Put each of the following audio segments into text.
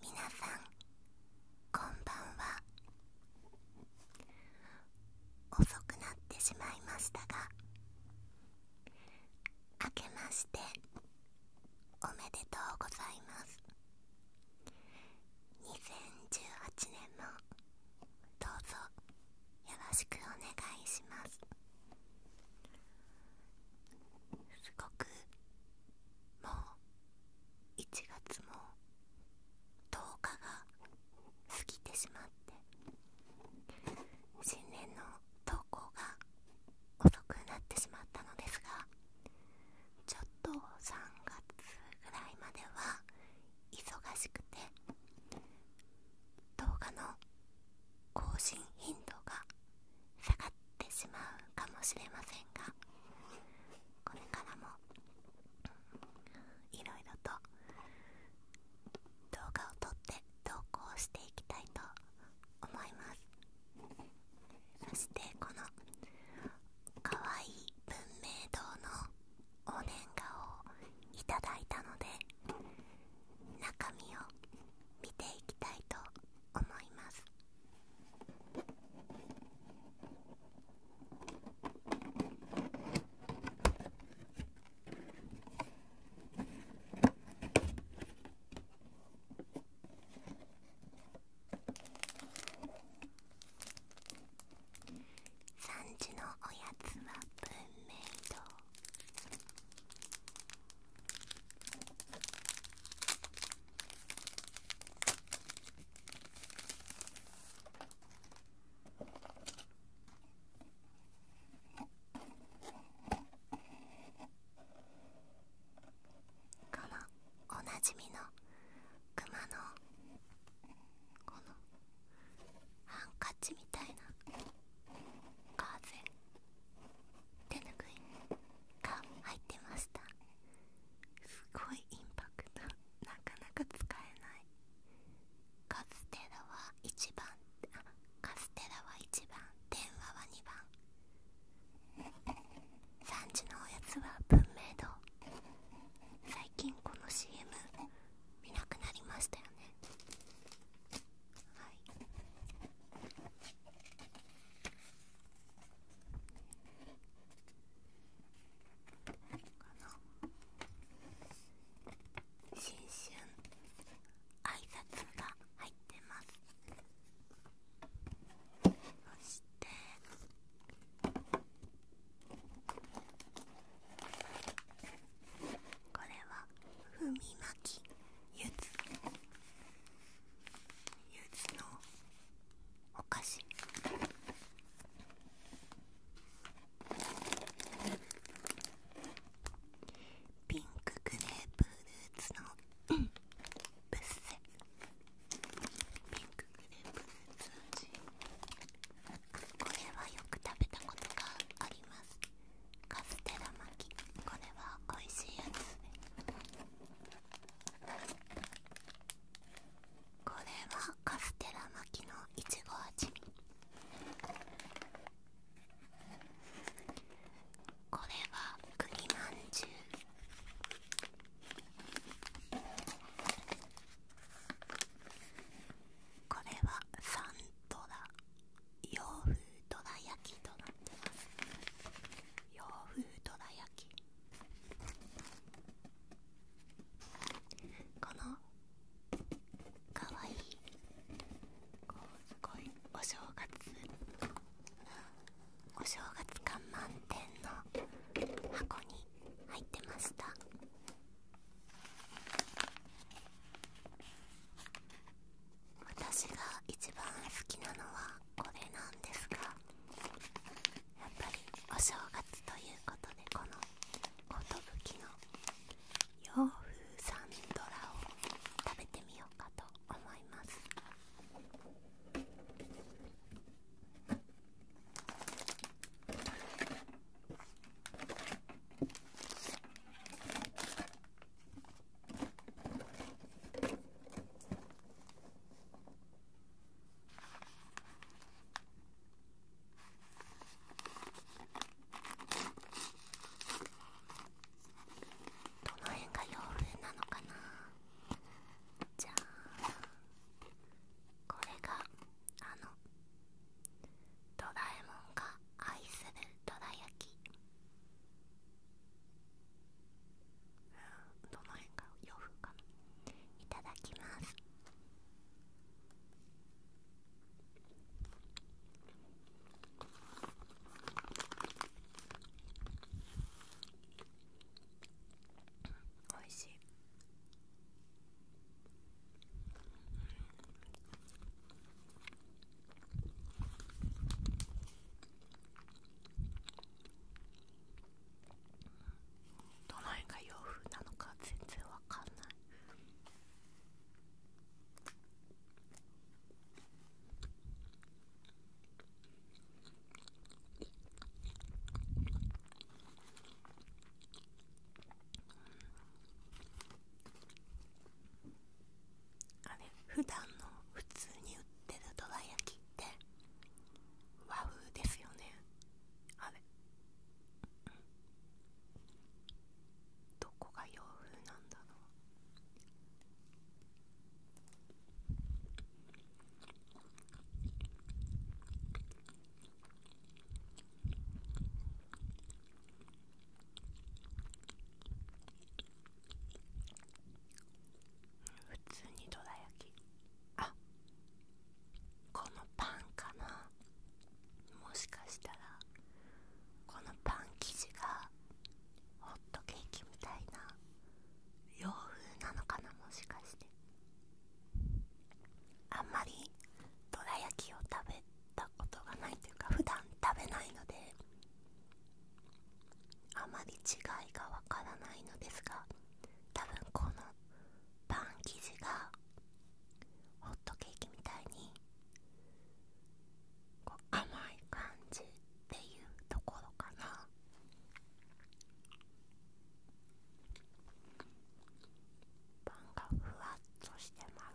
みなさんこんばんは遅くなってしまいましたが明けましておめでとうございます2018年もどうぞよろしくお願いしますすごくもう1月も10日が過ぎてしまって新年の投稿が遅くなってしまったのですがちょっと3月ぐらいまでは忙しくて動画の更新頻度が下がってしまうかもしれませんがこれからもいろいろと動画を撮って投稿していきたいと思いますそしてこのかわいい文明堂のお年賀をいただいたので中身を見ていきたいと思いますのおやつは文明堂このおなじみのクマのこのハンカチみたいな風手ぬぐいが入ってましたすごいインパクトなかなか使えないカステラは1番カステラは1番電話は2番産地のおやつは文明堂最近この CM 見なくなりましたよねはいこの新春挨拶が入ってますそしてこれは踏み巻きゆずゆずのお菓子ピンクグレープフルーツのブッセピンクグレープフルーツ味これはよく食べたことがありますカステラ巻きこれは美味しいやつこれはカステラ巻きのいちご味これは栗まんじゅうこれはサンドラ洋風どら焼きとなってます洋風どら焼きこのかわいいこうすごいお正月お正月感満点の箱に入ってました私が一番好きなのはこれなんですがやっぱりお正月ということでこの寿の洋風サンドラを食べてみようかと思いますどの辺が洋風なのかなじゃあこれがあのドラえもんが愛するどら焼きどの辺か洋風かないただきますおいしいうんどの辺が洋風なのか全然わかんないうん。あれ普段の普通に売ってるどら焼きって和風ですよねあれどこが洋風なんだろう普通にどら焼きあこのパンかなもしかしたらこのパン生地がホットケーキみたいな洋風なのかなもしかしてあんまりどら焼きを食べたことがないというか普段食べないのであまり違いがわからないのですが多分このパン生地がホットケーキみたいにこう甘い感じっていうところかなパンがふわっとしてます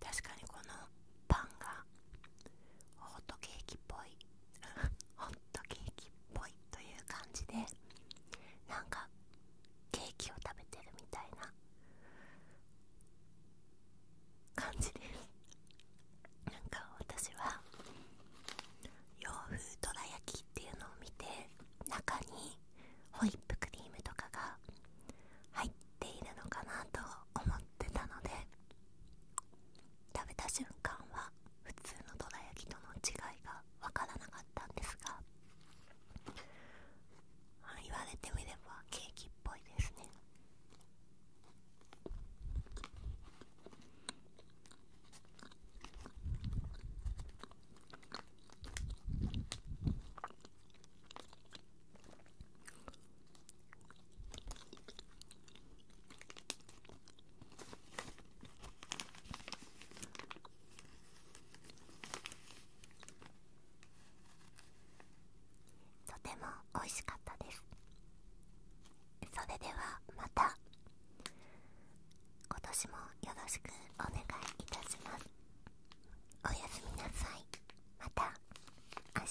確かにこのパンがホットケーキっぽいホットケーキっぽいという感じでなんかケーキを食べてるみたいな感じですなんか私は洋風どら焼きっていうのを見て中にホイップクリームとかが入っているのかなと思ってたので食べた瞬間は普通のどら焼きとの違いが分からなかったんですが言われてみればケーキっぽいですねとても美味しかったですそれではまた今年もよろしくお願いいたしますおやすみなさいまた明日